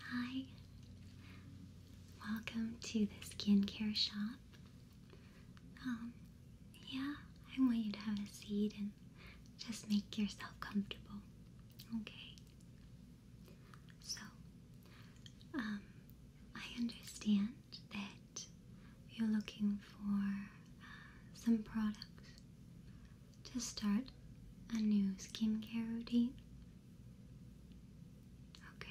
Hi, welcome to the skincare shop. Um, yeah, I want you to have a seat and just make yourself comfortable, okay? So, um, I understand that you're looking for uh, some products to start a new skincare routine? Okay.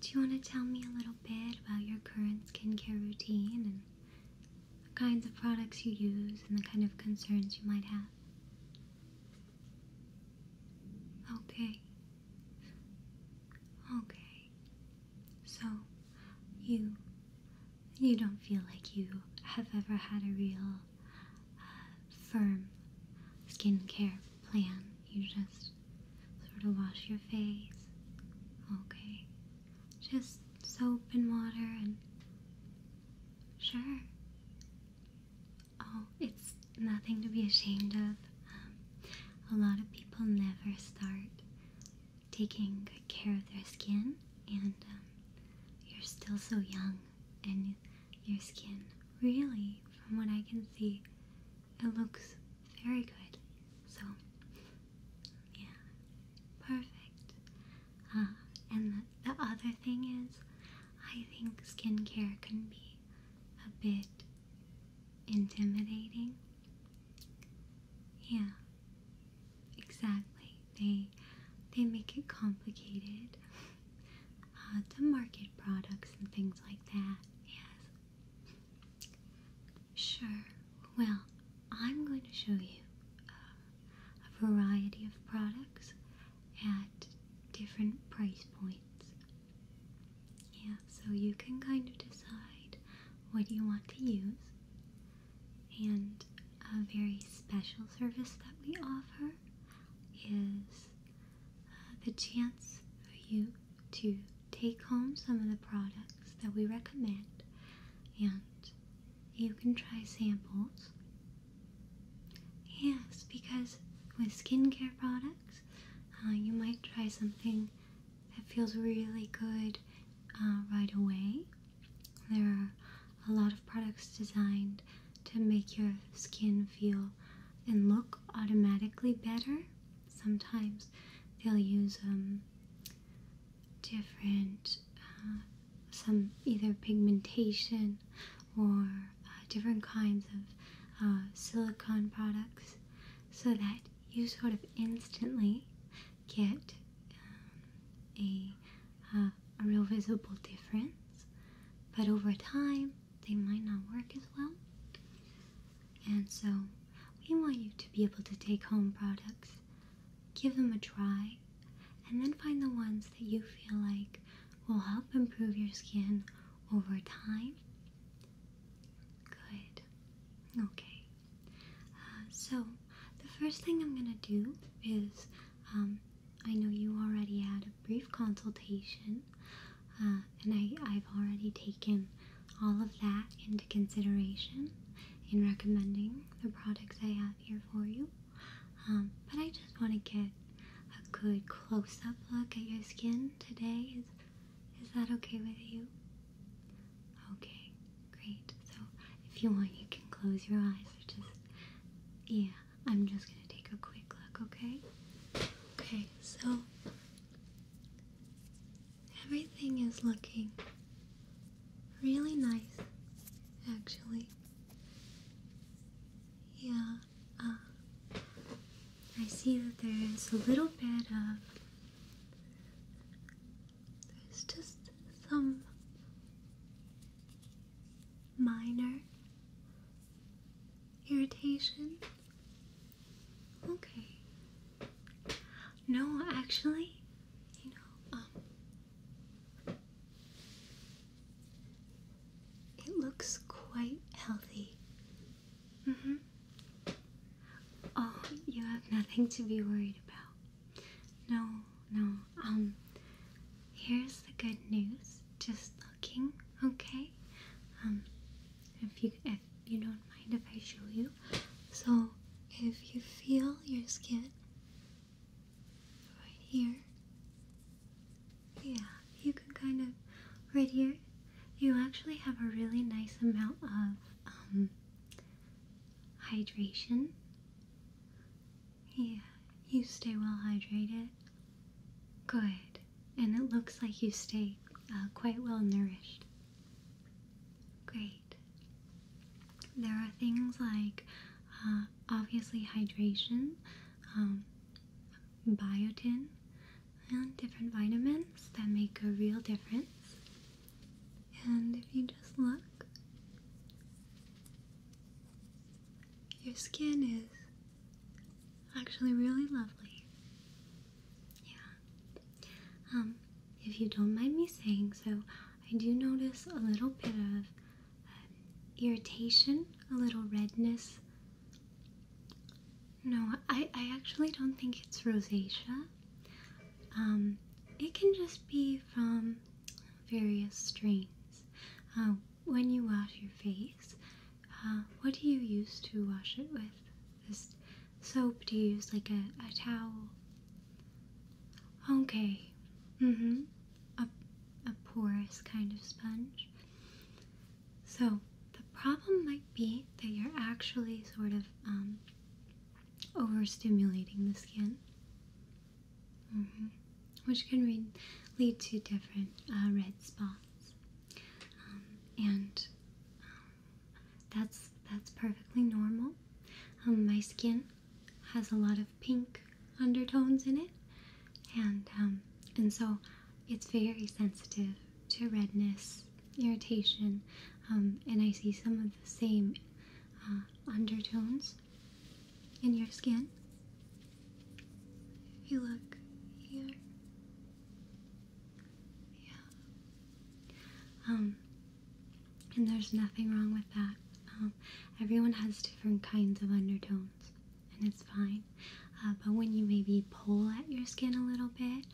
Do you want to tell me a little bit about your current skincare routine and the kinds of products you use and the kind of concerns you might have? Okay. Okay. So, you you don't feel like you have ever had a real uh, firm skincare plan. You just sort of wash your face. Okay. Just soap and water and. Sure. Oh, it's nothing to be ashamed of. Um, a lot of people never start taking good care of their skin and um, you're still so young, and your skin really, from what I can see, it looks very good. So, yeah, perfect. Uh, and the other thing is, I think skincare can be a bit intimidating. Yeah, Exactly. They they make it complicated uh, to market products and things like that. Yes. Sure. Well, I'm going to show you uh, a variety of products at different price points. Yeah, so you can kind of decide what you want to use. And a very special service that we offer is uh, the chance for you to take home some of the products that we recommend, and you can try samples. Yes, because with skincare products, uh, you might try something that feels really good uh, right away there are a lot of products designed to make your skin feel and look automatically better. Sometimes they'll use um, different, uh, some either pigmentation or uh, different kinds of uh, silicone products so that you sort of instantly get um, a a, real visible difference, but over time they might not work as well. And so we want you to be able to take home products, give them a try, and then find the ones that you feel like will help improve your skin over time. Good. Okay. Uh, so the first thing I'm going to do is um, I know you already had a brief consultation, uh, and I, have already taken all of that into consideration in recommending the products I have here for you. Um, but I just want to get a good close-up look at your skin today. Is, is that okay with you? Okay, great. So if you want, you can close your eyes or just. Yeah, I'm just gonna take a quick look, okay? Okay, so. Everything is looking really nice, actually. Yeah, uh, I see that there is a little bit of. There's just some minor irritation? Okay. No, actually, you know, um, it looks quite healthy. Mm hmm. Oh, you have nothing to be worried about. No, no. Um, here's the good news. Just looking, okay? Um, if you if you don't mind if I show you. So, if you feel your skin right here, yeah, you can kind of right here. You actually have a really nice amount of um hydration. Yeah, you stay well hydrated. Good. And it looks like you stay uh, quite well nourished. Great. There are things like uh, obviously hydration, um, biotin, and different vitamins that make a real difference. And if you just look, your skin is actually really lovely. Yeah. Um, if you don't mind me saying so, I do notice a little bit of um, irritation, a little redness. No, I, I actually don't think it's rosacea. Um, it can just be from various strains. Um, when you wash your face, uh, what do you use to wash it with? This soap? Do you use like a, a towel? Okay. Mm-hmm. A, a porous kind of sponge. So the problem might be that you're actually sort of um, overstimulating the skin. Mm-hmm. Which can lead to different uh, red spots, um, and um, that's that's perfectly normal. Um, my skin has a lot of pink undertones in it, and and so it's very sensitive to redness, irritation, and I see some of the same uh, undertones in your skin. If you look here, yeah. Um, and there's nothing wrong with that. Um, everyone has different kinds of undertones, and it's fine. Uh, but when you maybe pull at your skin a little bit,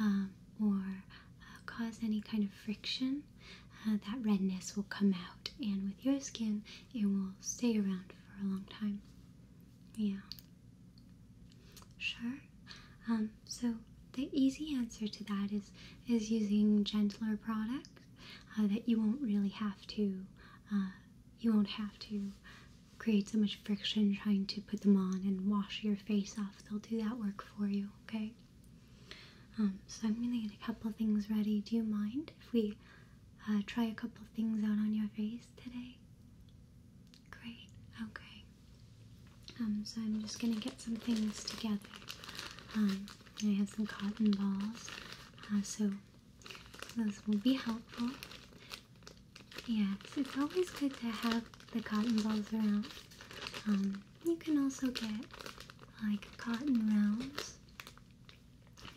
um, or uh, cause any kind of friction uh, that redness will come out, and with your skin, it will stay around for a long time. Yeah. Sure. Um, so the easy answer to that is is using gentler products uh, that you won't really have to uh, you won't have to create so much friction trying to put them on and wash your face off. They'll do that work for you. Okay. Um, so I'm gonna get a couple things ready. Do you mind if we uh, try a couple things out on your face today? Great. Okay. Um, so I'm just gonna get some things together. Um, I have some cotton balls, uh, so those will be helpful. Yes, it's always good to have the cotton balls around. you can also get like cotton rounds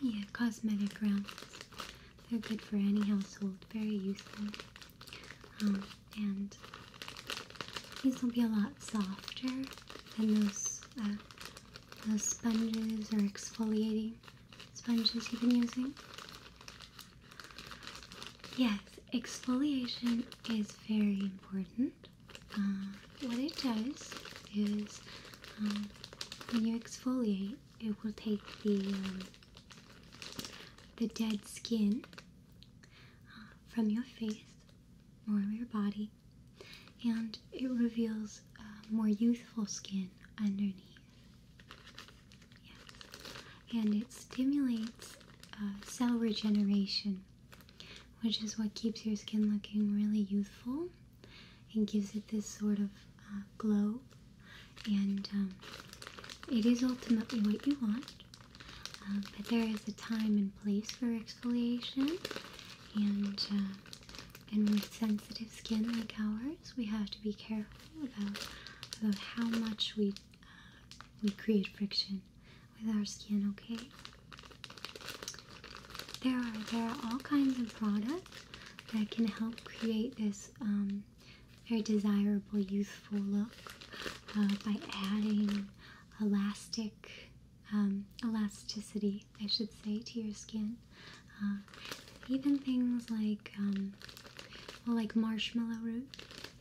yeah, cosmetic rounds. They're good for any household. Very useful. Um, and these will be a lot softer than those uh, those sponges are exfoliating sponges you've been using. Yes, exfoliation is very important. Uh, what it does is um, when you exfoliate, it will take the um, the dead skin uh, from your face or your body, and it reveals uh, more youthful skin underneath. Yes, and it stimulates cell regeneration which is what keeps your skin looking really youthful and gives it this sort of uh, glow. And um, it is ultimately what you want, um, but there is a time and place for exfoliation. And uh, and with sensitive skin like ours, we have to be careful about about how much we uh, we create friction with our skin. Okay. There are there are all kinds of products that can help create this um, very desirable youthful look uh, by adding elastic um, elasticity, I should say, to your skin. Uh, even things like um, like marshmallow root.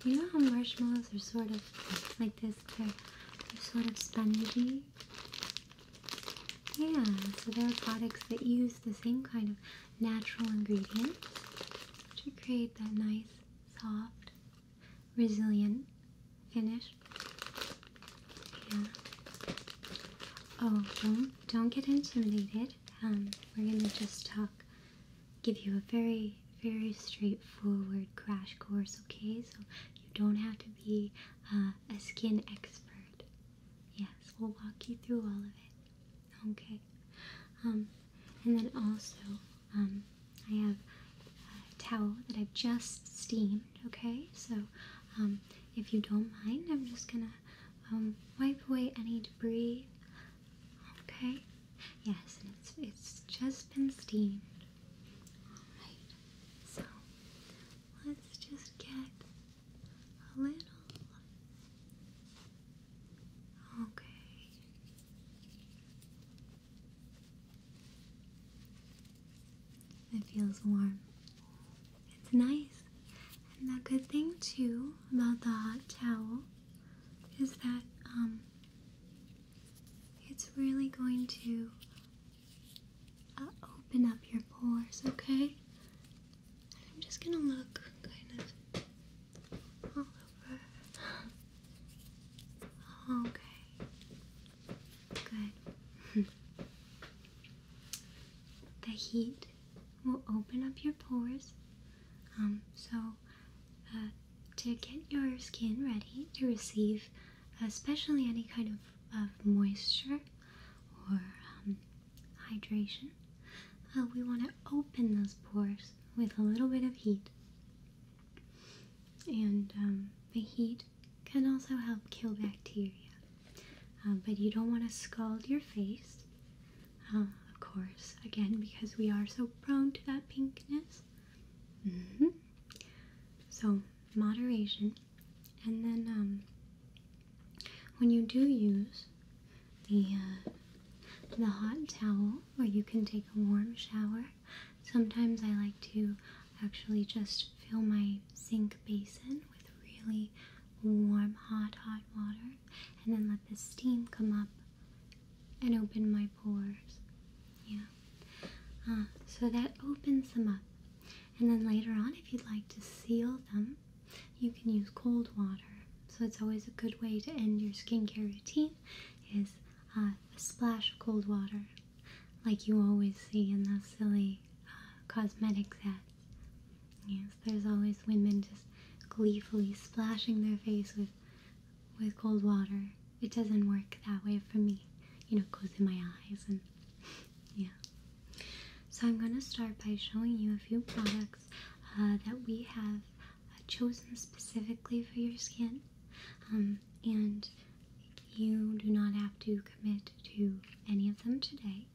You know how marshmallows are sort of like this? They're, they're sort of spongy. Yeah, so there are products that use the same kind of natural ingredients to create that nice, soft, resilient finish. Yeah. Oh, don't don't get intimidated. Um, we're gonna just talk, give you a very very straightforward crash course. Okay, so you don't have to be uh, a skin expert. Yes, we'll walk you through all of it. Okay. Um, and then also, um, I have a towel that I've just steamed. Okay, so um, if you don't mind, I'm just gonna wipe away any debris. Okay. Yes, and it's it's just been steamed. All right. So let's just get a little. Okay. It feels warm. It's nice. And the good thing too about the hot towel is that um it's really going to open up your pores, okay? I'm just gonna look kind of all over. Okay. Good. the heat will open up your pores. Um, so, uh, to get your skin ready to receive especially any kind of, of moisture or um, hydration. Uh, we want to open those pores with a little bit of heat. And um, the heat can also help kill bacteria. Uh, but you don't want to scald your face, uh, of course, again, because we are so prone to that pinkness. Mm-hmm. So, moderation and then um, when you do use the uh, the hot towel, or you can take a warm shower. Sometimes I like to actually just fill my sink basin with really warm, hot, hot water, and then let the steam come up and open my pores. Yeah. Uh, so that opens them up. And then later on, if you'd like to seal them, you can use cold water. So it's always a good way to end your skincare routine is uh, a splash of cold water, like you always see in those silly uh, cosmetics ads. Yes, there's always women just gleefully splashing their face with with cold water. It doesn't work that way for me. You know, it goes in my eyes and yeah. So I'm going to start by showing you a few products uh, that we have uh, chosen specifically for your skin, um, and you do not have to commit to any of them today.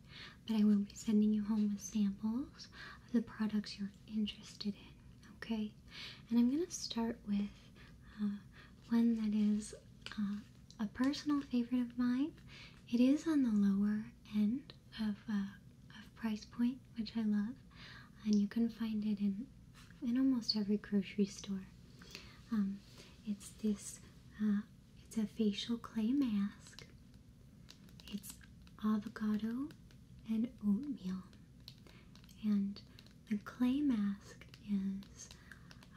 But I will be sending you home with samples of the products you're interested in. Okay, and I'm going to start with uh, one that is a personal favorite of mine. It is on the lower end of uh, price point, which I love, and you can find it in in almost every grocery store. Um, it's this. Uh, it's a facial clay mask. It's avocado and oatmeal, and the clay mask is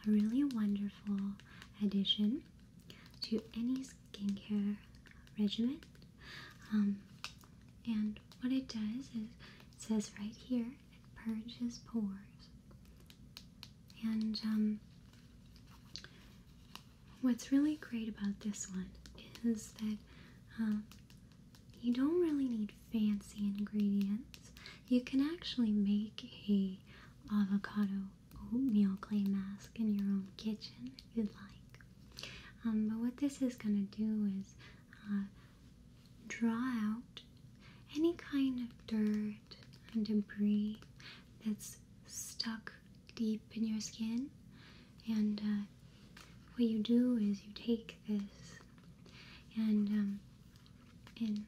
a really wonderful addition to any skincare regimen. Um, and what it does is it says right here it purges pores. And um, what's really great about this one is that um, you don't really need fancy ingredients. You can actually make a avocado oatmeal clay mask in your own kitchen if you'd like. Um, but what this is going to do is uh, draw out any kind of dirt and debris that's stuck deep in your skin. And uh, what you do is you take this and um, and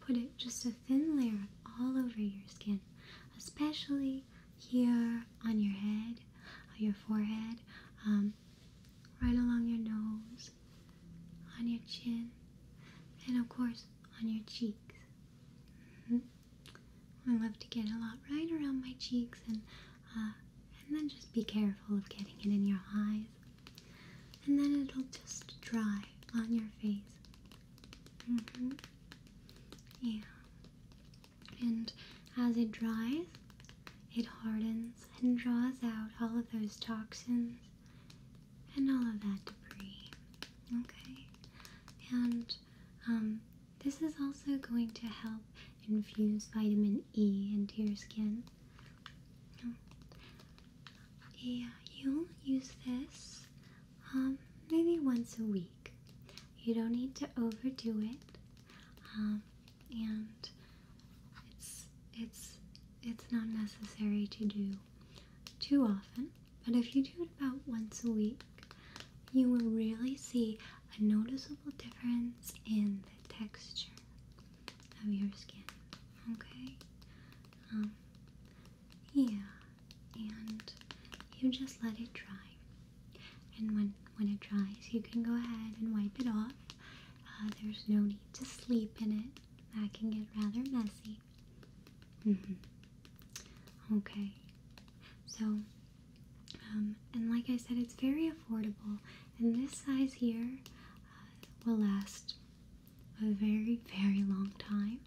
Put it just a thin layer all over your skin, especially here on your head, on your forehead, um, right along your nose, on your chin, and of course on your cheeks. Mm-hmm. I love to get a lot right around my cheeks, and uh, and then just be careful of getting it in your eyes and then it'll just dry on your face. Mm-hmm. Yeah. And as it dries, it hardens and draws out all of those toxins and all of that debris. Okay? And um, this is also going to help infuse vitamin E into your skin. Yeah, you use this um, maybe once a week. You don't need to overdo it. Um, and it's it's it's not necessary to do too often. But if you do it about once a week, you will really see a noticeable difference in the texture of your skin. Okay? Um, yeah. And you just let it dry. And when, when it dries, you can go ahead and wipe it off. Uh, there's no need to sleep in it. That can get rather messy. Mm-hmm. Okay. So, um, and like I said, it's very affordable. And this size here uh, will last a very, very long time.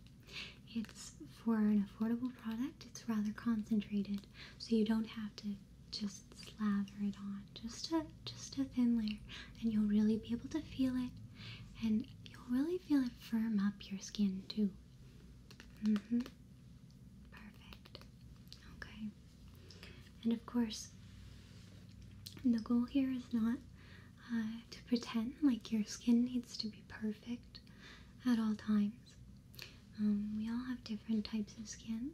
It's for an affordable product, it's rather concentrated, so you don't have to just slather it on. Just a just a thin layer, and you'll really be able to feel it, and you'll really feel it firm up your skin too. Mm-hmm. Perfect. Okay. And of course, the goal here is not uh, to pretend like your skin needs to be perfect at all times. Um, we all have different types of skin.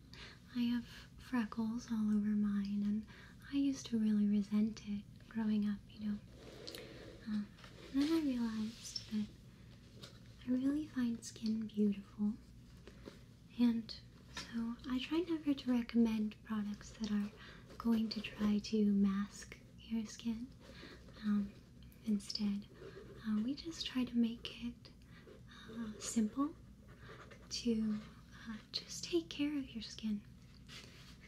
I have freckles all over mine, and I used to really resent it growing up, you know. Um, then I realized that I really find skin beautiful, and so I try never to recommend products that are going to try to mask your skin. Um, instead, uh, we just try to make it uh, simple to uh, just take care of your skin.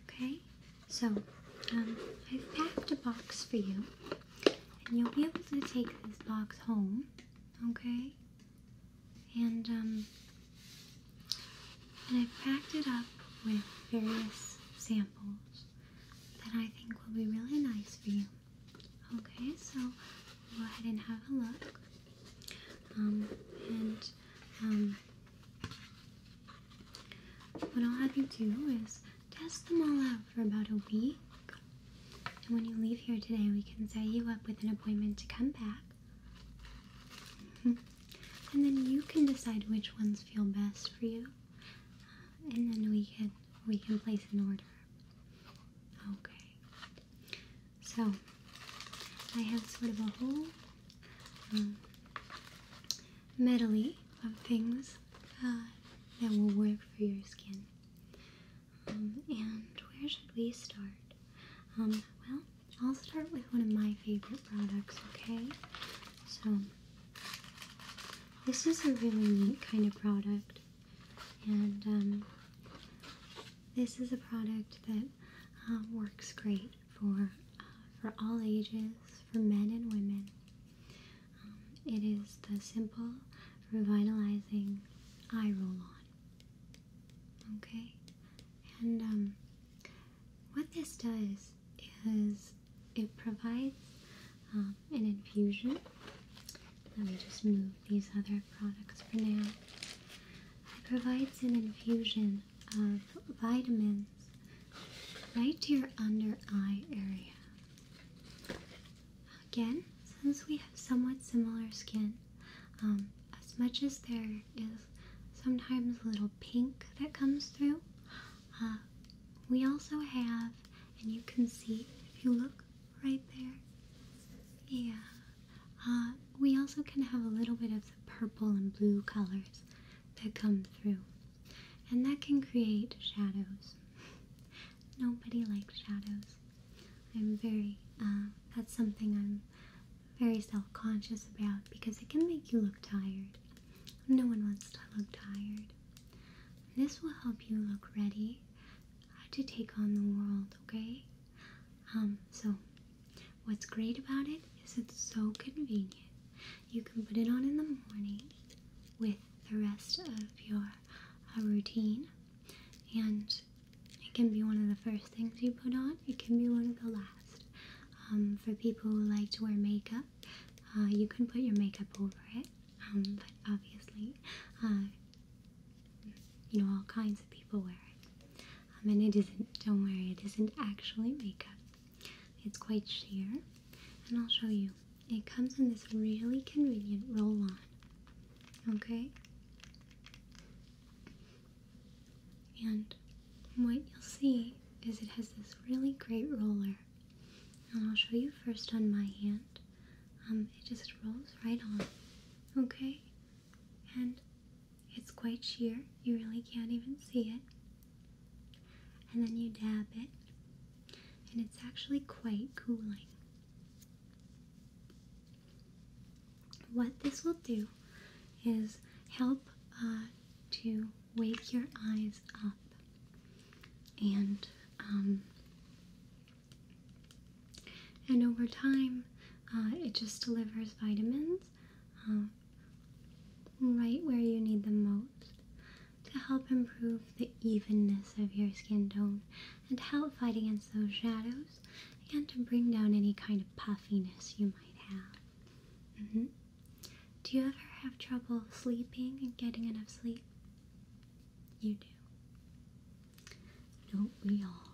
Okay? So, um, I've packed a box for you, and you'll be able to take this box home. Okay? and um, and i packed it up with various samples that I think will be really nice for you. Okay, so go ahead and have a look. Um, and um, what I'll have you do is test them all out for about a week. And when you leave here today, we can set you up with an appointment to come back. Hmm. And then you can decide which ones feel best for you, uh, and then we can we can place an order. Okay. So I have sort of a whole um, medley of things uh, that will work for your skin. Um, and where should we start? Um, well, I'll start with one of my favorite products, okay? So, this is a really neat kind of product, and um, this is a product that um, works great for uh, for all ages, for men and women. Um, it is the simple revitalizing eye roll on. Okay, and what this does is it provides um, an infusion. Let me just move these other products for now. It provides an infusion of vitamins right to your under eye area. Again, since we have somewhat similar skin, um, as much as there is sometimes a little pink that comes through, uh, we also have, and you can see if you look right there, yeah, uh, we also can have a little bit of the purple and blue colors that come through. And that can create shadows. Nobody likes shadows. I'm very, uh, that's something I'm very self conscious about because it can make you look tired. No one wants to look tired. This will help you look ready to take on the world, okay? Um, so what's great about it is it's so convenient. You can put it on in the morning with the rest of your uh, routine, and it can be one of the first things you put on, it can be one of the last. Um, for people who like to wear makeup, uh, you can put your makeup over it. Um, but obviously, uh, you know all kinds of people wear it. Um, and it isn't. Don't worry, it isn't actually makeup. It's quite sheer, and I'll show you. It comes in this really convenient roll-on. Okay. And what you'll see is it has this really great roller. And I'll show you first on my hand. Um, it just rolls right on, okay? And it's quite sheer. You really can't even see it. And then you dab it. And it's actually quite cooling. What this will do is help uh, to wake your eyes up and um, and over time uh, it just delivers vitamins um, right where you need them most to help improve the evenness of your skin tone and help fight against those shadows and to bring down any kind of puffiness you might have. Mm-hmm. Do you ever have trouble sleeping and getting enough sleep? You do. Don't we all?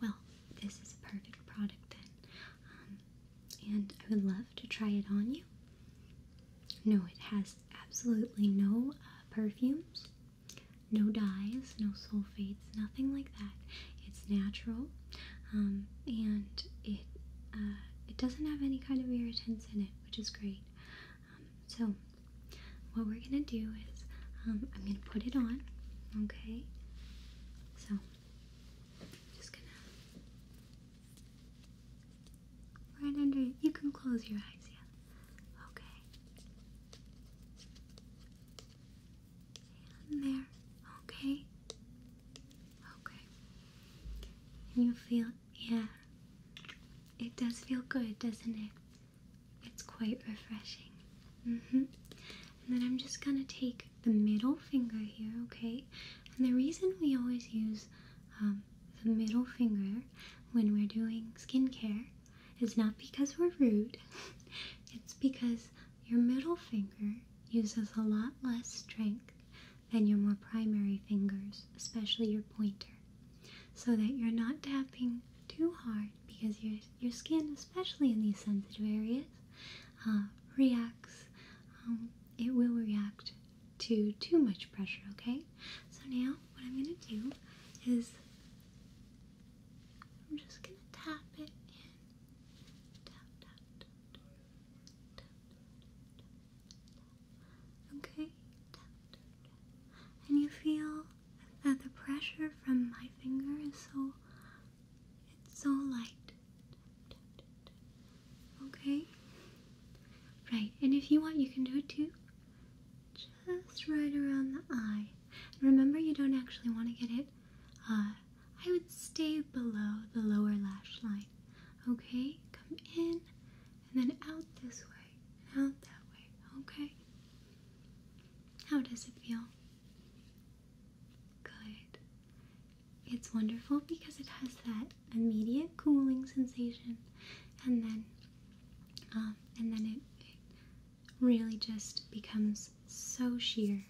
Well, this is a perfect product then. Um, and I would love to try it on you. No, it has absolutely no uh, perfumes, no dyes, no sulfates, nothing like that. It's natural, um, and it uh, it doesn't have any kind of irritants in it, which is great. Um, so, what we're gonna do is um, I'm gonna put it on. Okay. So, just gonna right under You can close your eyes, yeah. Okay and there. Okay. Okay. you feel, yeah. It does feel good, doesn't it? It's quite refreshing. Mm-hmm. and then I'm just gonna take the middle finger here, okay? And the reason we always use um, the middle finger when we're doing skincare is not because we're rude. it's because your middle finger uses a lot less strength than your more primary fingers, especially your pointer, so that you're not tapping too hard because your, your skin, especially in these sensitive areas, uh, reacts. Um, it will react to too much pressure, okay? So now what I'm going to do is I'm just going to tap it in Okay. And you feel that the pressure from my finger is so it's so light. Okay? Right, and if you want you can do it too. Just right around the eye. Remember you don't actually want to get it uh, I would stay below the lower lash line. Okay, come in and then out this way out that way. Okay, how does it feel? Good. It's wonderful because it has that immediate cooling sensation, and then, um, and then it, it really just becomes so sheer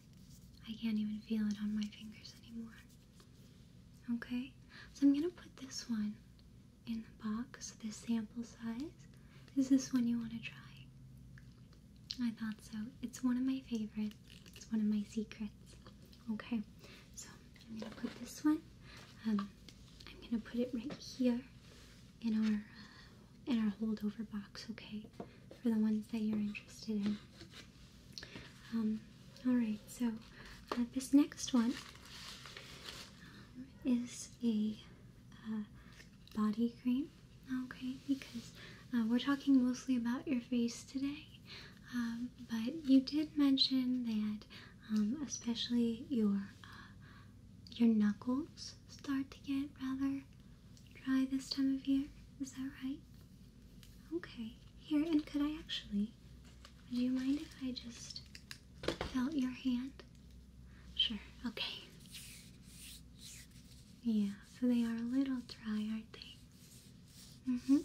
I can't even feel it on my fingers anymore. Okay, so I'm gonna put this one in the box, this sample size. Is this one you want to try? I thought so. It's one of my favorites, it's one of my secrets. Okay, so I'm gonna put this one, um, I'm gonna put it right here in our uh, in our holdover box, okay? For the ones that you're interested in. Um, Alright, so uh, this next one um, is a uh, body cream, okay? Because uh, we're talking mostly about your face today, um, but you did mention that especially your your knuckles start to get rather dry this time of year. Is that right? Okay. Here, and could I actually? Would you mind if I just felt your hand? Sure. Okay. Yeah, so they are a little dry, aren't they? Mm hmm.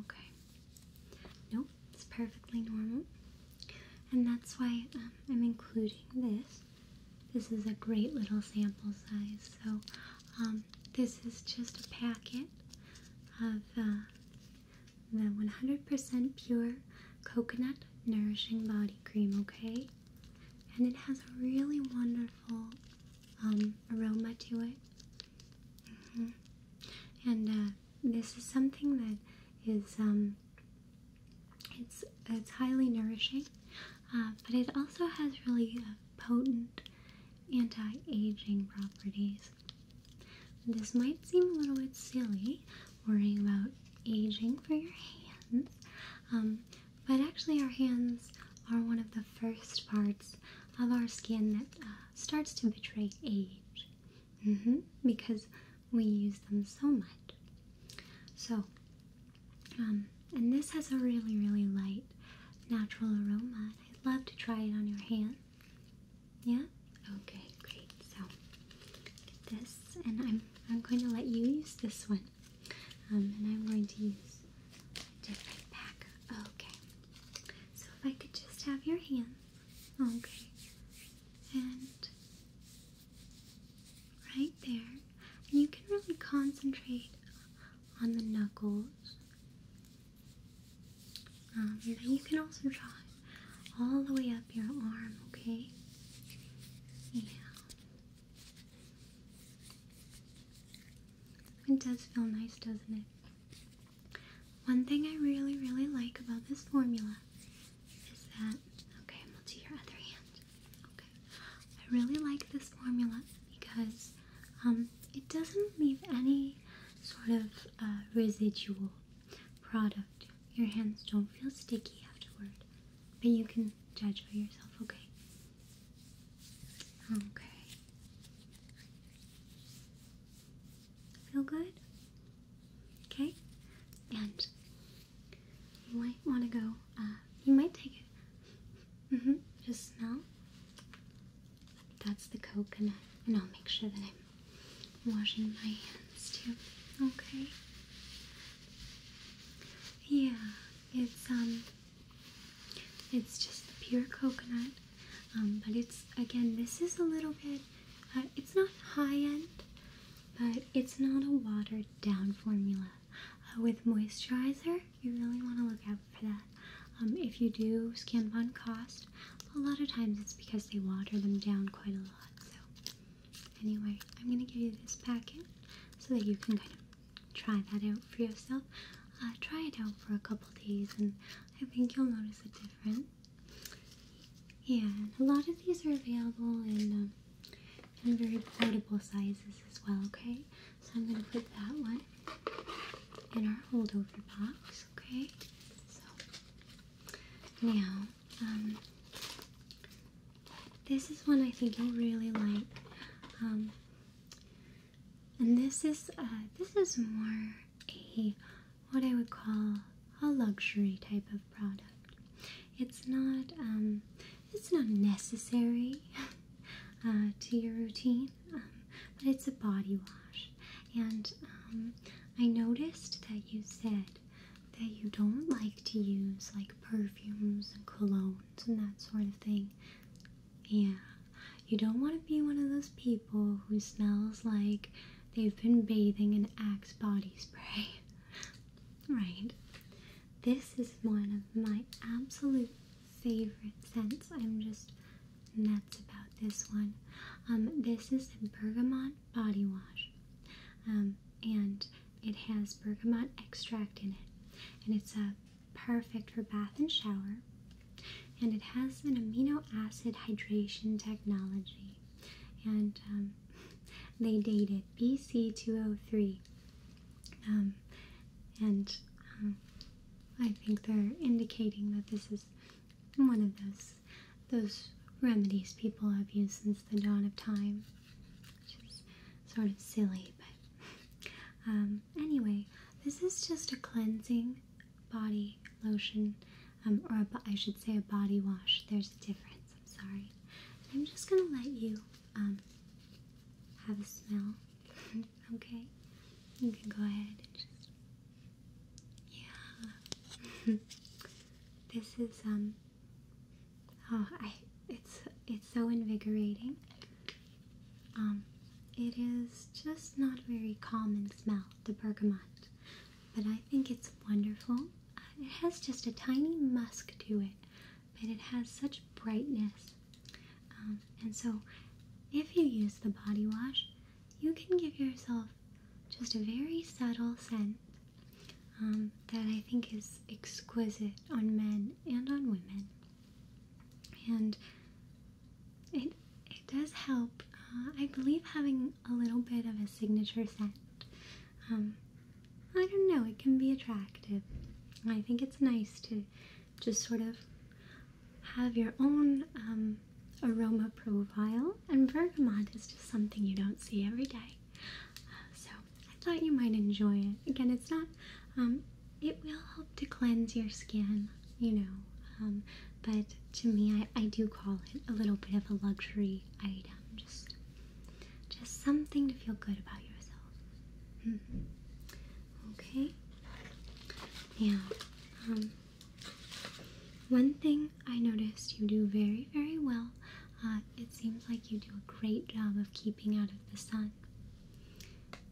Okay. Nope, it's perfectly normal. And that's why um, I'm including this this is a great little sample size. So, um, this is just a packet of uh, the 100% pure coconut nourishing body cream, okay? And it has a really wonderful um, aroma to it. Mm-hmm. And uh, this is something that is um, it's it's highly nourishing, uh, but it also has really uh, potent anti-aging properties. This might seem a little bit silly, worrying about aging for your hands, um, but actually our hands are one of the first parts of our skin that uh, starts to betray age. Mm-hmm, because we use them so much. So, um, and this has a really, really light natural aroma. I'd love to try it on your hand. Yeah? Okay, great. So, this, and I'm, I'm going to let you use this one. Um, and I'm going to use different pack. Okay. So, if I could just have your hand. Okay. And Right there. And you can really concentrate on the knuckles. Um, but you can also draw all the way up your arm, okay? Yeah. It does feel nice, doesn't it? One thing I really, really like about this formula is that okay? And will do your other hand. Okay. I really like this formula because um, it doesn't leave any sort of uh, residual product. Your hands don't feel sticky afterward, but you can judge for yourself. Okay. Okay. Feel good? Okay. And you might want to go, uh, you might take it. Mm-hmm, just smell. That's the coconut. And I'll make sure that I'm washing my hands too. Okay. Yeah, it's um it's just the pure coconut. Um, but it's again this is a little bit uh, it's not high end, but it's not a watered down formula. Uh, with moisturizer. You really want to look out for that. Um, if you do skin bond cost, a lot of times it's because they water them down quite a lot. So, anyway, I'm going to give you this packet so that you can kind of try that out for yourself. Uh, try it out for a couple days, and I think you'll notice a difference. Yeah, a lot of these are available in um, in very portable sizes as well, okay? So I'm going to put that one in our holdover box, okay? So now, um, this is one I think you'll really like. Um, and this is uh, this is more a what I would call a luxury type of product. It's not um, it's not necessary uh, to your routine, um, but it's a body wash. And um, I noticed that you said that you don't like to use like perfumes and colognes and that sort of thing. Yeah, you don't want to be one of those people who smells like they've been bathing in Axe body spray. Right. This is one of my absolute favorite scents. I'm just nuts about this one. Um, this is the bergamot body wash. Um, and it has bergamot extract in it. And it's a uh, perfect for bath and shower. And it has an amino acid hydration technology. And um, they dated BC 203. Um, and um, I think they're indicating that this is one of those those remedies people have used since the dawn of time, which is sort of silly, but um, anyway, this is just a cleansing body lotion, or I should say a body wash. There's a difference. I'm sorry. I'm just gonna let you um, have a smell. okay? You can go ahead and just. Yeah. this is, um. Oh, I. It's, it's so invigorating. Um, it is just not a very common smell, the bergamot. But I think it's wonderful. Uh, it has just a tiny musk to it but it has such brightness. Um, and so, if you use the body wash, you can give yourself just a very subtle scent um, that I think is exquisite on men and on women. And it, it does help, uh, I believe, having a little bit of a signature scent um, I don't know, it can be attractive. I think it's nice to just sort of have your own um, aroma profile, and bergamot is just something you don't see every day. Uh, so I thought you might enjoy it. Again, it's not, um, it will help to cleanse your skin, you know, but to me, I do call it a little bit of a luxury item just just something to feel good about yourself. Hmm. Okay. Now, um, one thing I noticed you do very, very well. Uh, it seems like you do a great job of keeping out of the sun.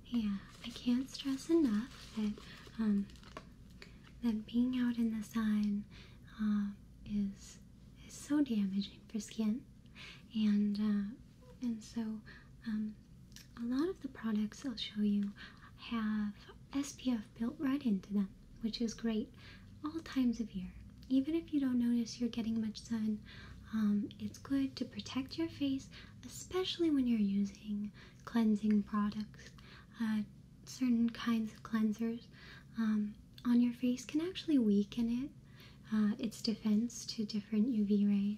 Yeah, I can't stress enough that um, that being out in the sun uh, is is so damaging for skin and uh, and so um, a lot of the products I'll show you have SPF built right into them, which is great all times of year. Even if you don't notice you're getting much sun, um, it's good to protect your face, especially when you're using cleansing products, uh, certain kinds of cleansers. Um, on your face can actually weaken it, uh, its defense to different UV rays.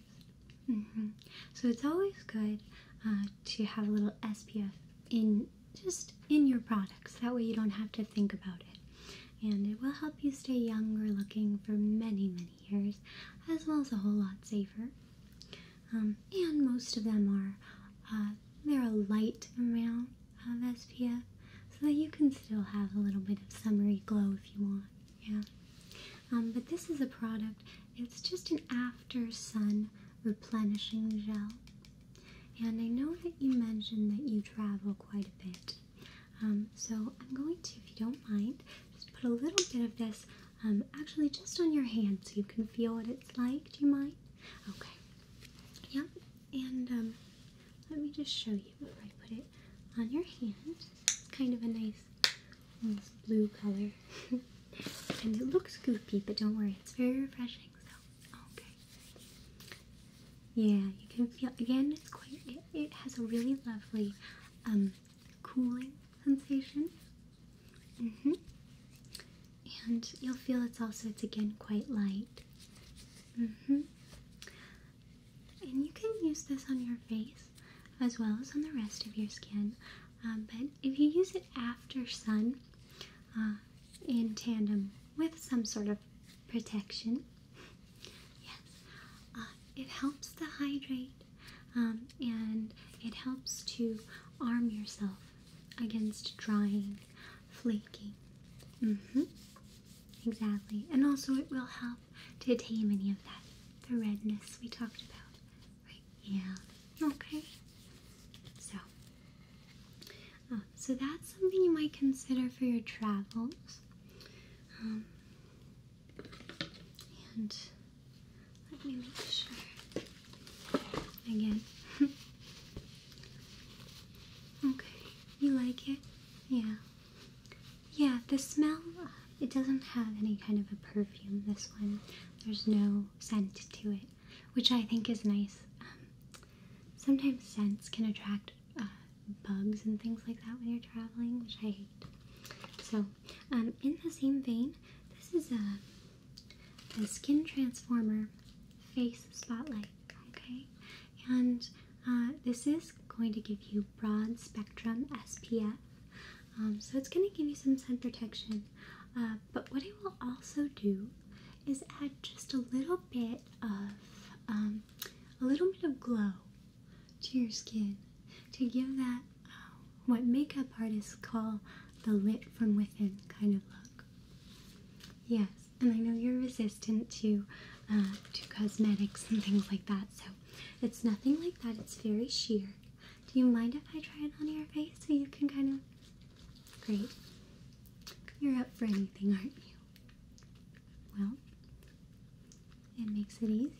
Mm-hmm. So it's always good uh, to have a little SPF in just in your products. That way you don't have to think about it, and it will help you stay younger looking for many many years, as well as a whole lot safer. Um, and most of them are uh, they're a light amount of SPF so that you can still have a little bit of summery glow if you want. Yeah. Um, but this is a product, it's just an after sun replenishing gel. And I know that you mentioned that you travel quite a bit. Um, so I'm going to, if you don't mind, just put a little bit of this um, actually just on your hand so you can feel what it's like. Do you mind? Okay. Yep. And let me just show you before I put it on your hand. kind of a nice, blue color. and it looks goopy, but don't worry, it's very refreshing. So, okay. Yeah, you can feel, again, it's quite, it, has a really lovely um, cooling sensation. hmm And you'll feel it's also, it's again quite light. hmm and you can use this on your face as well as on the rest of your skin. Um, but if you use it after sun uh, in tandem with some sort of protection, yes, uh, it helps to hydrate um, and it helps to arm yourself against drying, flaking. Mm-hmm. Exactly. And also, it will help to tame any of that, the redness we talked about. Right? Yeah. Okay. So, um, so that's something you might consider for your travels. Um, and let me make sure. Again. okay. You like it? Yeah. Yeah, the smell, uh, it doesn't have any kind of a perfume, this one. There's no scent to it, which I think is nice. Um, sometimes scents can attract uh, bugs and things like that when you're traveling, which I hate. So, um, in the same vein, this is a, a Skin Transformer Face Spotlight, okay? and uh, this is going to give you broad spectrum SPF. Um, so it's going to give you some sun protection. Uh, but what it will also do is add just a little bit of um, a little bit of glow to your skin to give that uh, what makeup artists call the lit from within kind of look. Yes and I know you're resistant to uh, to cosmetics and things like that, so it's nothing like that. It's very sheer. Do you mind if I try it on your face so you can kind of? Great. You're up for anything, aren't you? Well, it makes it easy.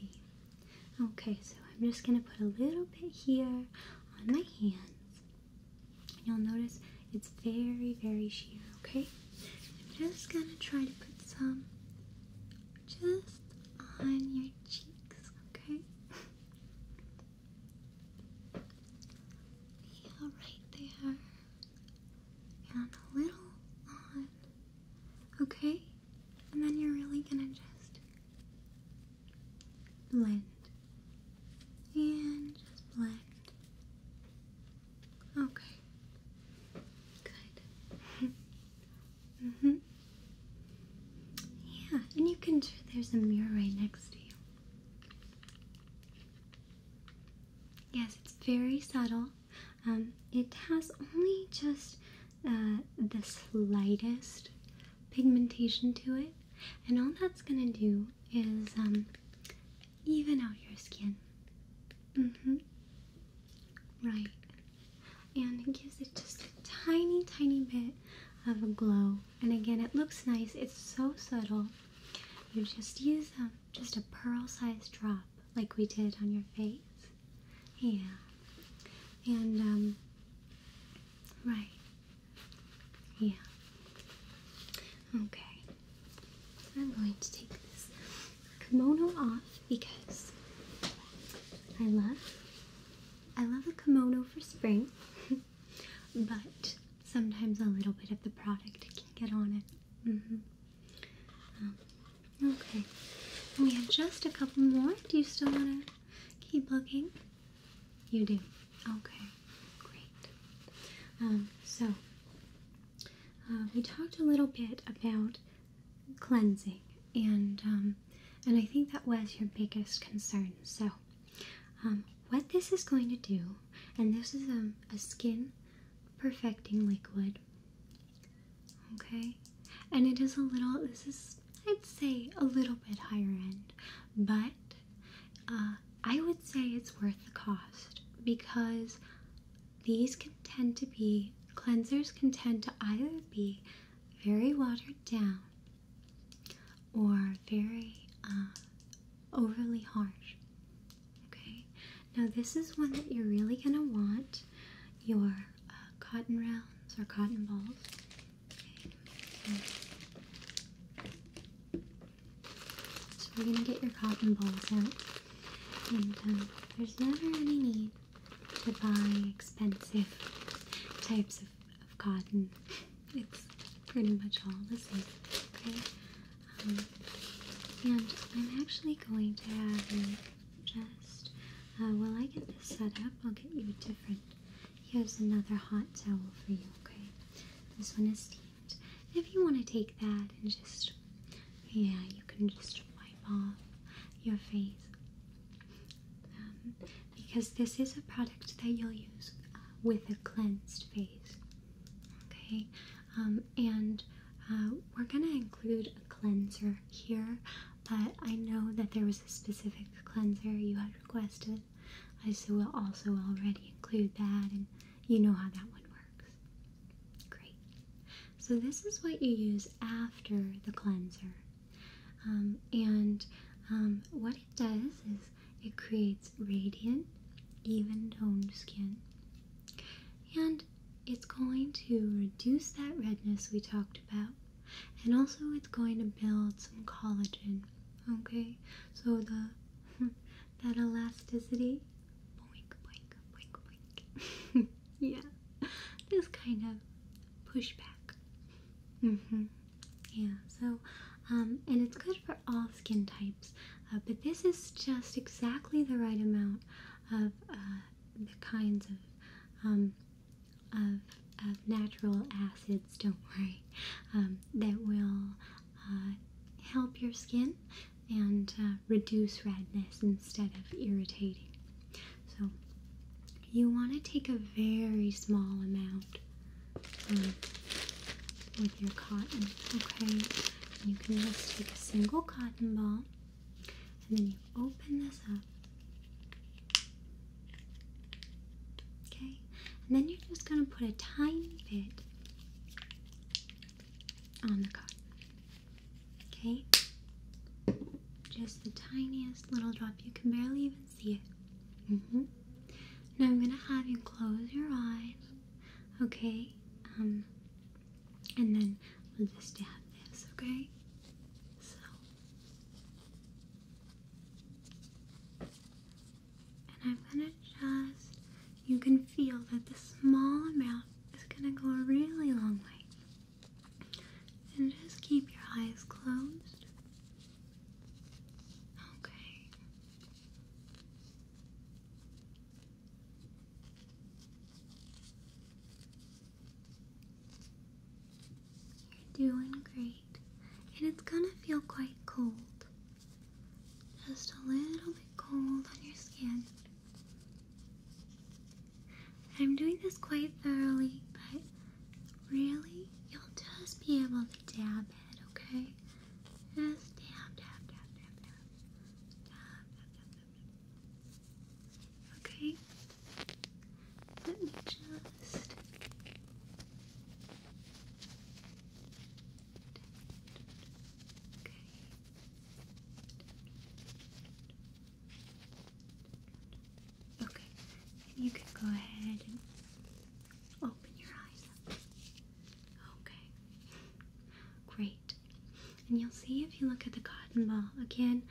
Okay, so I'm just gonna put a little bit here on my hands. You'll notice it's very, very sheer, okay? I'm just gonna try to put some just on your cheeks, okay? Yeah, right there. And a little on, okay? And then you're really gonna just blend. And just blend. Okay. Good. mhm. Mm yeah, and you can. There's a mirror right next to you. Yes, it's very subtle. Um, it has only just uh, the slightest pigmentation to it, and all that's gonna do is um, even out your skin. Mm-hmm. Right. And it gives it just a tiny, tiny bit of a glow. And again, it looks nice. It's so subtle. You just use um, just a pearl-sized drop like we did on your face. Yeah. And, um, right. Yeah. Okay. I'm going to take this kimono off because I love I love a kimono for spring, but sometimes a little bit of the product can get on it. Mm-hmm. Um, okay, we have just a couple more. Do you still want to keep looking? You do. Okay, great. Um, so we um, talked a little bit about cleansing, and um, and I think that was your biggest concern. So, um, what this is going to do, and this is a skin perfecting liquid. Okay, and it is a little. This is I'd say a little bit higher end, but uh, I would say it's worth the cost because these can tend to be cleansers can tend to either be very watered down or very uh, overly harsh. Okay, now this is one that you're really gonna want your uh, cotton rounds or cotton balls. So you're gonna get your cotton balls out, and um, there's never any need to buy expensive types of, cotton. It's pretty much all the same. Okay, um, and I'm actually going to have you just uh, while I get this set up, I'll get you a different. Here's another hot towel for you. Okay, this one is if you want to take that and just, yeah, you can just wipe off your face. Um, because this is a product that you'll use uh, with a cleansed face. Okay, um, and uh, we're gonna include a cleanser here, but I know that there was a specific cleanser you had requested. I so will also already include that, and you know how that one works. Great. So, this is what you use after the cleanser. Um, and um, what it does is it creates radiant, even toned skin. And it's going to reduce that redness we talked about. And also, it's going to build some collagen. Okay? So, the that elasticity. Boink, boink, boink, boink. yeah, just kind of push back. Mm hmm. Yeah, so, um, and it's good for all skin types, uh, but this is just exactly the right amount of uh, the kinds of, um, of, of natural acids, don't worry, um, that will uh, help your skin and uh, reduce redness instead of irritating. So, you want to take a very small amount um, with your cotton, okay? You can just take a single cotton ball and then you open this up. Okay, and then you're just going to put a tiny bit on the cup, Okay? Just the tiniest little drop. You can barely even see it. Mm Now I'm gonna have you close your eyes. Okay? Um, and then we'll just dab this, okay? So. And I'm gonna just you can feel that the small amount is going to go a really long way. And just keep your eyes closed. Okay. You're doing great. And it's going to feel quite cold. Just a little bit cold on your skin. I'm doing this quite thoroughly, but really, you'll just be able to dab it, okay? Just dab, dab, dab, dab, dab. Dab, dab, dab, Okay? Let me just. Okay. Okay. you can go ahead and open your eyes Okay. Great. And you'll see if you look at the cotton ball again,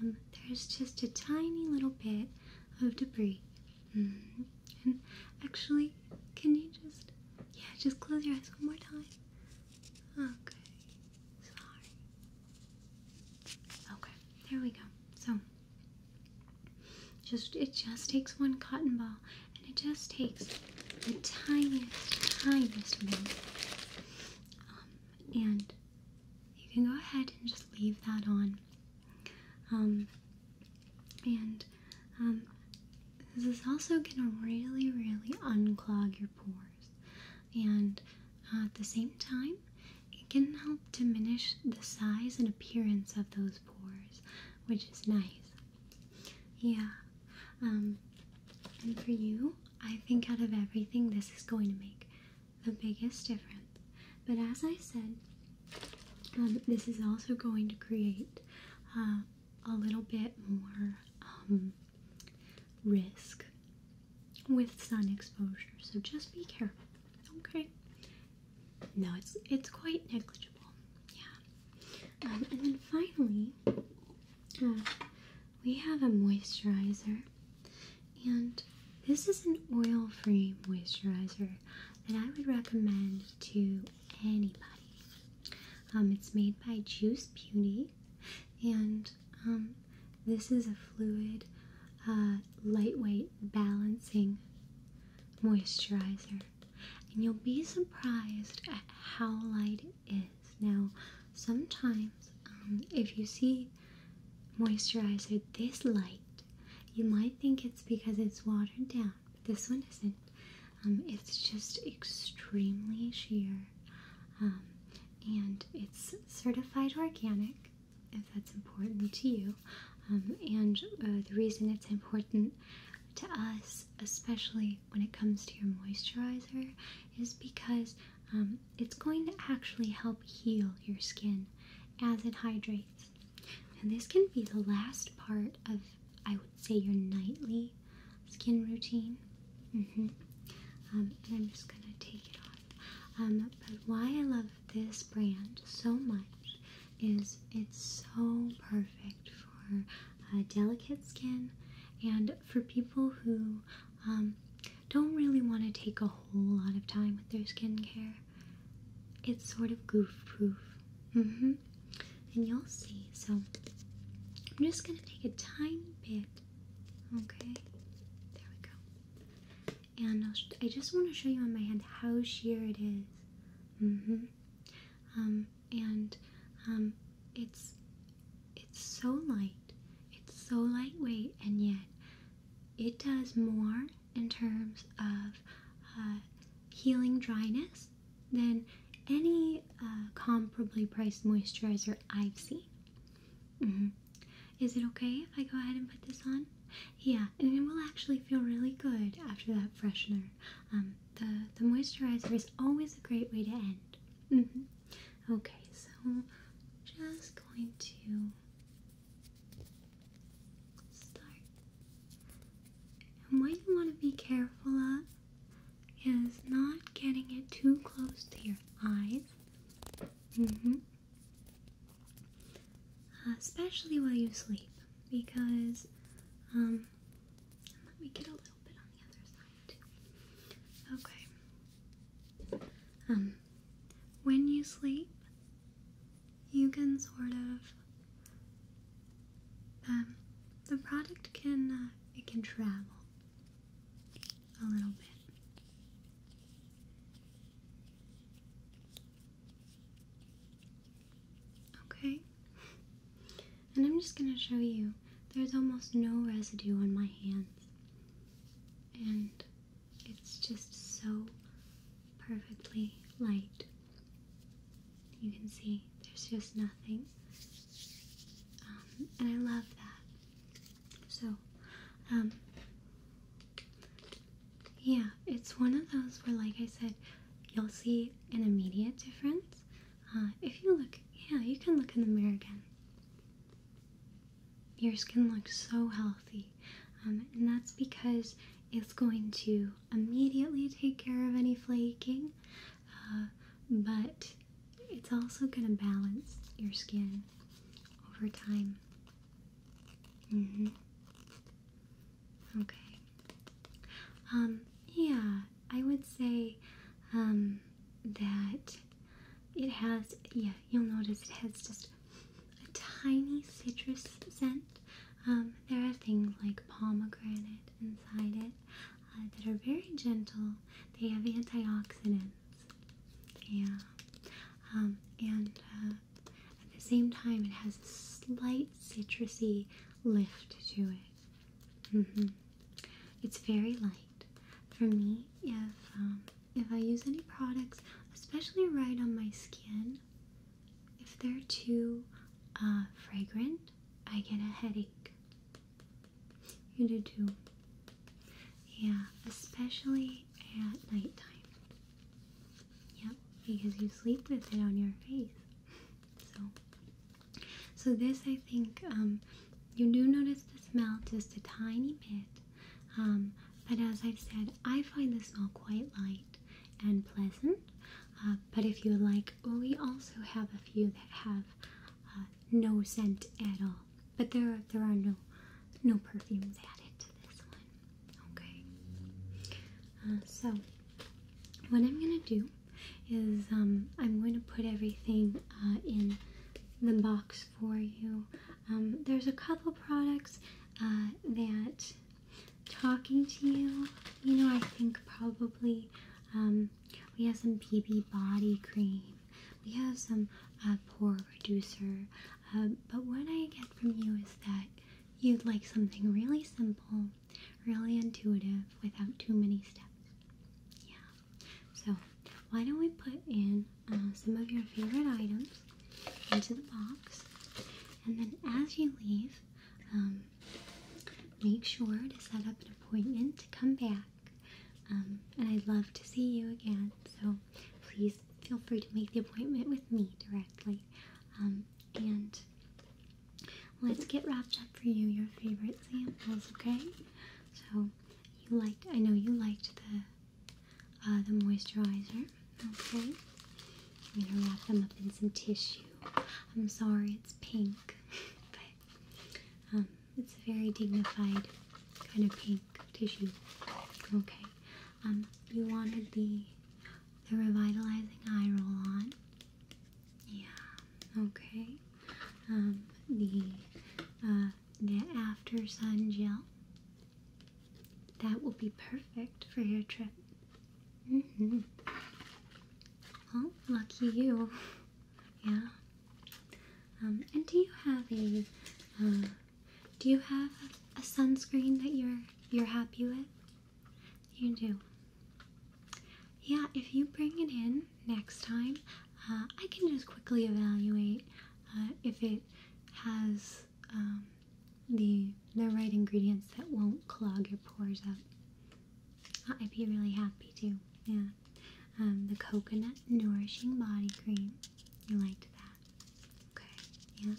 um, there's just a tiny little bit of debris. -hmm. And actually, can you just, yeah, just close your eyes one more time. Okay, sorry. Okay, there we go. So, just it just takes one cotton ball, and it just takes the tiniest, tiniest amount. Um, and you can go ahead and just leave that on. Um, and um, this is also gonna really, really unclog your pores, and at the same time, it can help diminish the size and appearance of those pores, which is nice. Yeah. Um, and for you, I think out of everything, this is going to make the biggest difference. But as I said, um, this is also going to create uh, a little bit more um, risk with sun exposure. So just be careful. Okay. No, it's it's quite negligible. Yeah. Um, and then finally, uh, we have a moisturizer, and this is an oil-free moisturizer that I would recommend to anybody. Um, it's made by Juice Beauty, and um, this is a fluid, uh, lightweight balancing moisturizer. And you'll be surprised at how light it is. Now, sometimes um, if you see moisturizer this light, you might think it's because it's watered down this one isn't. Um, it's just extremely sheer, um, and it's certified organic, if that's important to you. Um, and uh, the reason it's important to us, especially when it comes to your moisturizer, is because it's going to actually help heal your skin as it hydrates. And this can be the last part of I would say, your nightly skin routine. Mm-hmm. Um, and I'm just gonna take it off. Um, but why I love this brand so much is it's so perfect for uh, delicate skin and for people who um, don't really want to take a whole lot of time with their skincare. It's sort of goof proof. Mm hmm. And you'll see. So I'm just going to take a tiny bit. Okay. There we go. And i just want to show you on my hand how sheer it is. Mm hmm. Um, and um, it's it's so light. It's so lightweight, and yet it does more in terms of uh, healing dryness less than any uh, comparably priced moisturizer I've seen. Mm-hmm. Is it okay if I go ahead and put this on? Yeah, and it will actually feel really good after that freshener. Um, the the moisturizer is always a great way to end. Mm -hmm. Okay, so just going to start. And what you want to be careful of is not getting it too close to your eyes. Mm-hmm. Especially while you sleep, because, um, let me get a little bit on the other side Okay. Um, when you sleep, you can sort of um, the product can uh, it can travel a little bit. Okay. And I'm just going to show you there's almost no residue on my hands. And it's just so perfectly light. You can see there's just nothing. Um, and I love that. So, um, yeah, it's one of those where, like I said, you'll see an immediate difference. Uh, if you look, yeah, you can look in the mirror again. Your skin looks so healthy, um, and that's because it's going to immediately take care of any flaking. Uh, but it's also going to balance your skin over time. Mm-hmm. Okay. Um, yeah, I would say um, that it has, yeah, you'll notice it has just a tiny citrus scent. Um, there are things like pomegranate inside it. Uh, that are very gentle. They have antioxidants. Yeah. Um, and uh, at the same time, it has a slight citrusy lift to it. Mm-hmm. It's very light. For me, if um, if I use any products, especially right on my skin, if they're too uh, fragrant, I get a headache. You do too. Yeah, especially at nighttime. Yep, because you sleep with it on your face. So, so this I think um, you do notice the smell just a tiny bit, um, but as I've said, I find the smell quite light and pleasant. Uh, but if you like, we also have a few that have uh, no scent at all. But there are, there are no no perfumes added to this one. Okay. Uh, so what I'm gonna do is um, I'm going to put everything in the box for you. Um, there's a couple products that talking to you, you know, I think probably um, we have some BB body cream. We have some uh, pore reducer. Um, but what I get from you is that you'd like something really simple, really intuitive, without too many steps. Yeah. So why don't we put in uh, some of your favorite items into the box, and then as you leave, um, make sure to set up an appointment to come back. Um, and I'd love to see you again. So please feel free to make the appointment with me directly. Um, and let's get wrapped up for you your favorite samples, okay? So you liked, I know you liked the uh, the moisturizer, okay? I'm gonna wrap them up in some tissue. I'm sorry, it's pink, but um, it's a very dignified kind of pink tissue. Okay. Um, you wanted the the revitalizing eye roll on. Yeah. Okay. Um, the uh, the after sun gel. That will be perfect for your trip. Mm-hmm. Well, lucky you. Yeah. Um, and do you have a uh, do you have a sunscreen that you're you're happy with? You do. Yeah, if you bring it in next time, uh, I can just quickly evaluate uh, if it has um, the the right ingredients that won't clog your pores up. I'd be really happy too. Yeah. Um, the coconut nourishing body cream. You liked that. Okay. Yeah.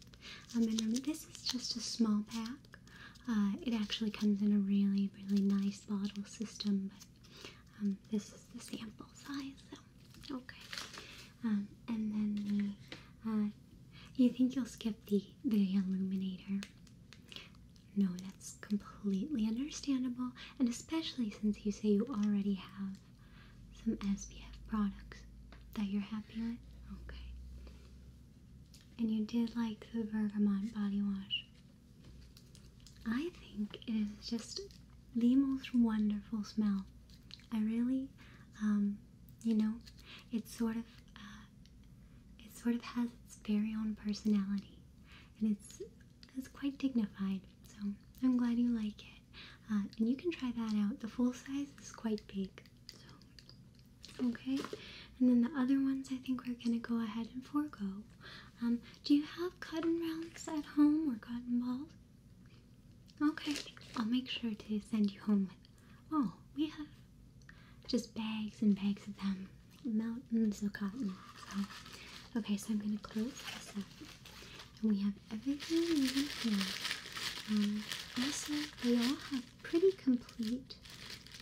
Um, and um, this is just a small pack. Uh, it actually comes in a really, really nice bottle system, but um, this is the sample size. So okay. Um, and then the. Uh, you think you'll skip the the illuminator? No, that's completely understandable, and especially since you say you already have some SPF products that you're happy with. Okay. And you did like the Bergamont body wash. I think it is just the most wonderful smell. I really, um, you know, it's sort of uh, it sort of has its very own personality, and it's it's quite dignified. So I'm glad you like it, uh, and you can try that out. The full size is quite big, so okay. And then the other ones, I think we're gonna go ahead and forego. Um, do you have cotton rounds at home or cotton balls? Okay, I'll make sure to send you home with. Oh, we have just bags and bags of them mountains of cotton. okay, so I'm gonna close this up, and we have everything in here. Um, also, they all have pretty complete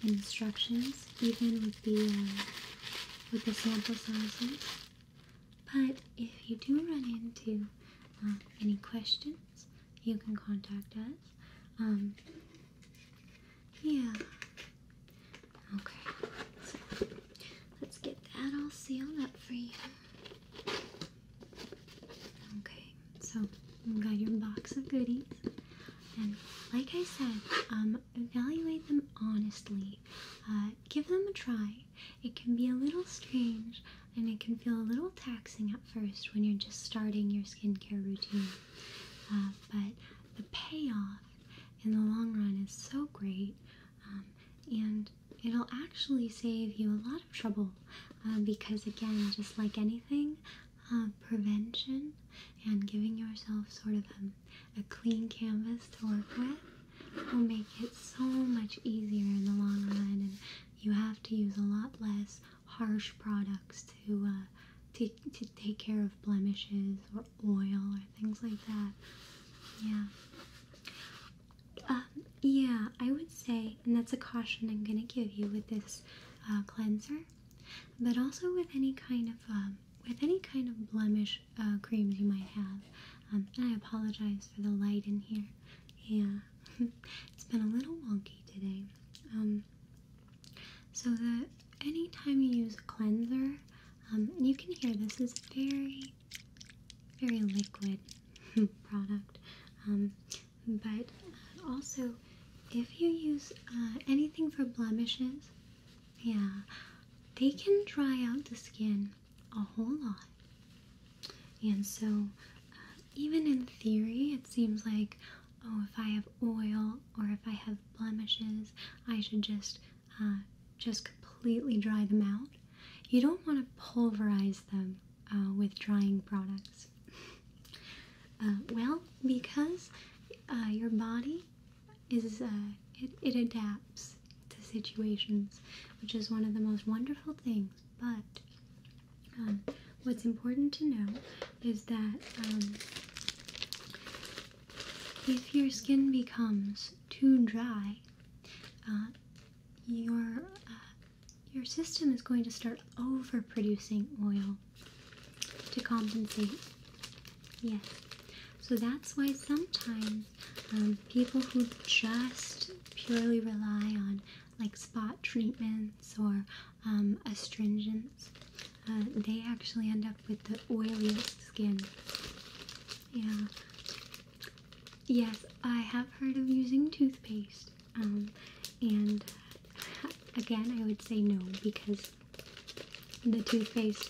instructions, even with the uh, with the sample sizes. But if you do run into um, any questions, you can contact us. Um, yeah. Okay. So let's get that all sealed up for you. Okay. So you got your box of goodies, and like I said, um, evaluate them honestly. Uh, give them a try. It can be a little strange, and it can feel a little taxing at first when you're just starting your skincare routine. Uh, but the payoff in the long run is so great um, and it'll actually save you a lot of trouble um, because again just like anything uh, prevention and giving yourself sort of a, clean canvas to work with will make it so much easier in the long run and you have to use a lot less harsh products to uh, to, take care of blemishes oil or things like that. Yeah. Um, yeah, I would say, and that's a caution I'm going to give you with this uh, cleanser, but also with any kind of um, with any kind of blemish uh, creams you might have. Um, and I apologize for the light in here. Yeah, it's been a little wonky today. so that anytime you use a cleanser, um, and you can hear this is very, very liquid product. Um, but also, if you use uh, anything for blemishes, yeah, they can dry out the skin a whole lot. And so, uh, even in theory, it seems like oh, if I have oil or if I have blemishes, I should just uh, just completely dry them out. You don't want to pulverize them uh, with drying products. Uh, well, because your body is it, adapts to situations, which is one of the most wonderful things. But um, what's important to know is that um, if your skin becomes too dry, uh, your uh, your system is going to start overproducing oil to compensate. Yes, so that's why sometimes um, people who just purely rely on like spot treatments or um, astringent uh, they actually end up with the oiliest skin. Yeah. Yes, I have heard of using toothpaste, um, and again, I would say no because the toothpaste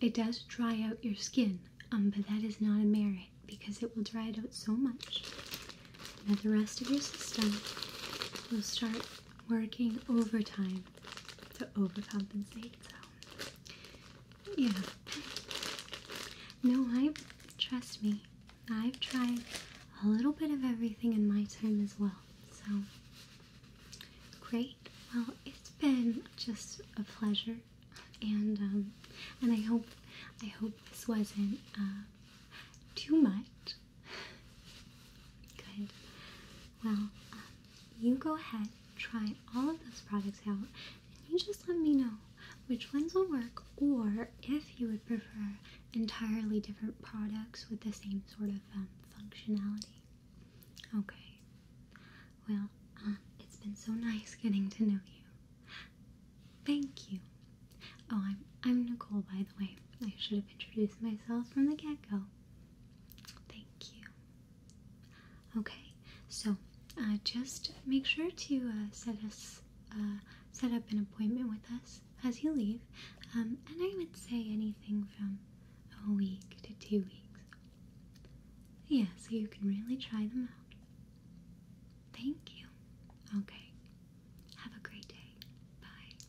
it does dry out your skin, um, but that is not a merit because it will dry it out so much that the rest of your system will start working overtime to overcompensate. So, yeah. No, I trust me. I've tried a little bit of everything in my time as well. So, great. Well, it's been just a pleasure, and um, and I hope I hope this wasn't uh, too much. Good. Well, um, you go ahead, try all of those products out, and you just let me know which ones will work or if you would prefer entirely different products with the same sort of um, functionality. Okay. Well, um, it's been so nice getting to know you. Thank you. Oh, I'm, I'm Nicole, by the way. I should have introduced myself from the get-go. Thank you. Okay, so uh, just make sure to uh, set us uh, set up an appointment with us as you leave, um, and I would say anything from a week to two weeks. Yeah, so you can really try them out. Thank you. Okay, have a great day. Bye.